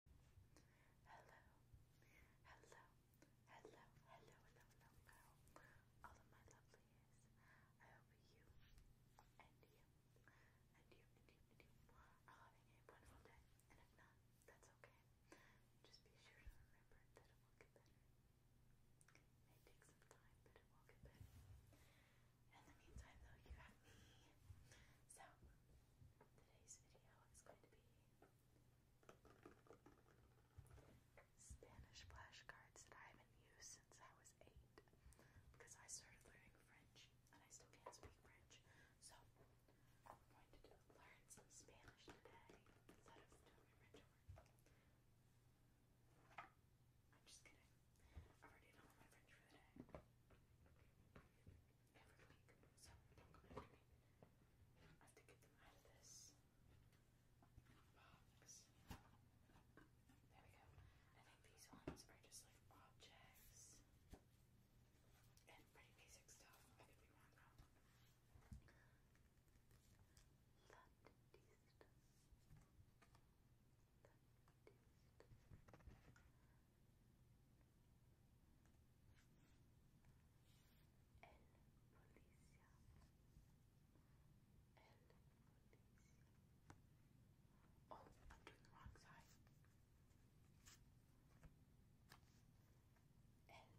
Hello, hello, hello, hello, hello, hello, all of my lovelies. I hope you you and you and you and you are having a wonderful day. And if not, that's okay. Just be sure to remember that it will get better. It may take some time, but it will get better. In the meantime, though, you have me. So, Today's video is going to be Spanish flashcards that I haven't used since I was eight because I started learning French and I still can't speak French. So I'm going to do, learn some Spanish today instead of doing French homework. I'm just kidding. i already done all my French for the day every week, I have to get them out of this box. There we go. I think these ones are just like objects and pretty basic stuff. I could be wrong though. Landista. El policía. El policía. Oh, I'm doing the wrong side. El Pacharo. El Pacharo.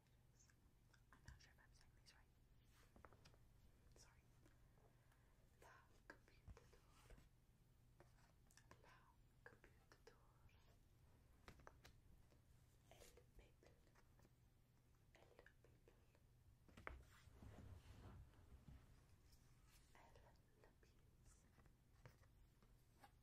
I'm not sure if I'm saying these right. Sorry. La computadora. La computadora. El people. El people. El lapis.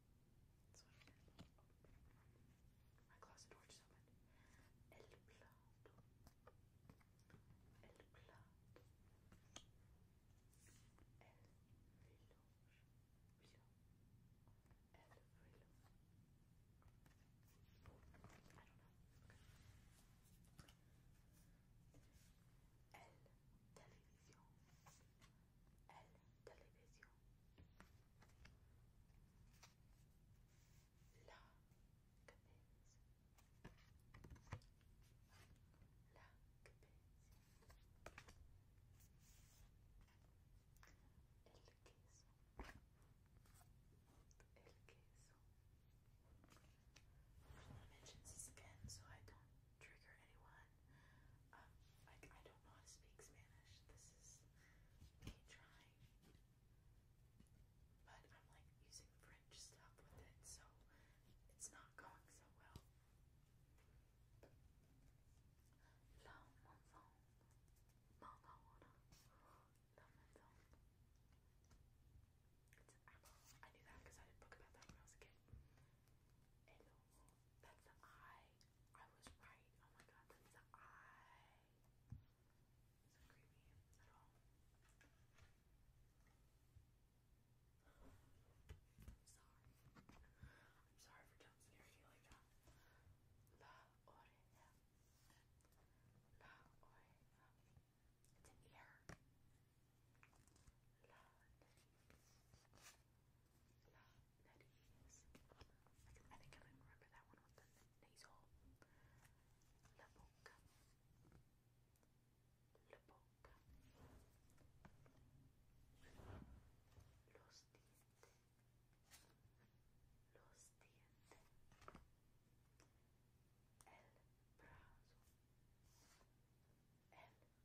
That's what My closet door just opened. El plato. El plato. El velo. Velo. El velo. I televisión. التلفزيون لا كبس again so I don't trigger anyone. I don't know how to speak Spanish. This is keep trying. But I'm like using French stuff with it, so it's not going so well. La maison, Madonna, La maison. It's apple. I knew that because I did book about that when I was a kid. That's the eye. I was right. Oh my god, that's the eye. It's not creepy at all. I'm sorry. I'm sorry for jump scaring you like that. La oreja. La oreja. It's an ear. La La nariz. I, can, I think I remember that one with the nasal. La boca. La boca. Los dientes. Los dientes. El brazo. El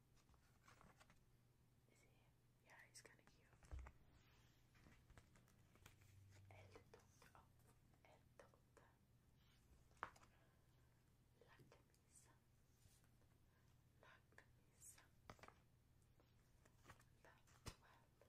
Is he? Yeah, he's kind of cute. El doctor, el doctor. La camisa, la camisa, la toile, la toile, el camion,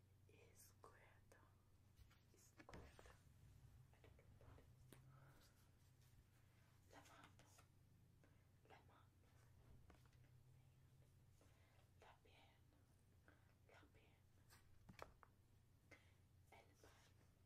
Izquierda. Izquierda. La mano. La mano. La pierna. La pierna. El pan. El pan. La pasta de dientes.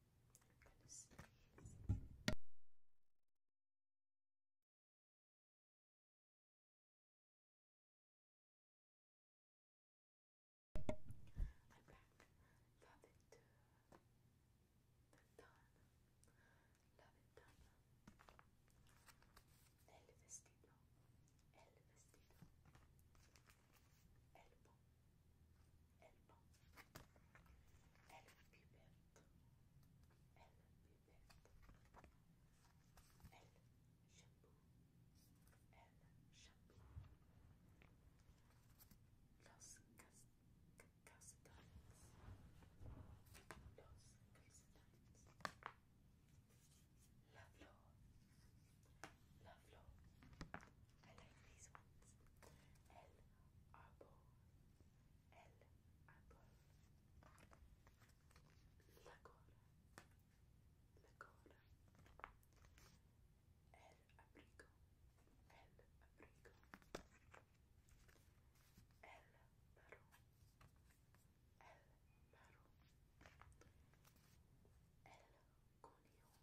goodness. I'm back. Love it. Done. Love it done. El vestido. El vestido. El pompo. Elba. Elba be back. Elba El shampoo. El shampoo. Los cas Los calcetines. La flor. La flor. I like these ones. El Arbol. El Arbol. La Cora. La Abrigo. El Abrigo. El Perro. El Perro. El Conejo.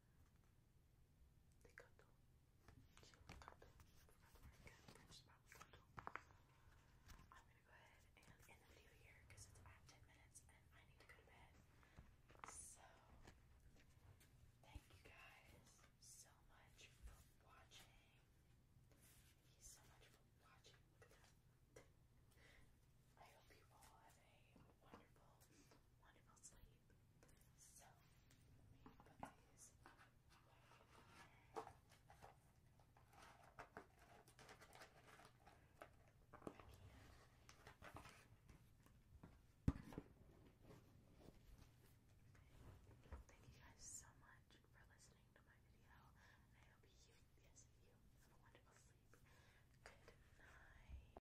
I'm gonna go ahead and end the video here because it's about 10 minutes and I need to go to bed. So, thank you guys so much for watching. Thank you so much for watching. I hope you all have a Thank you guys so much for listening to my video. I hope you, yes, you have a wonderful sleep. Good night.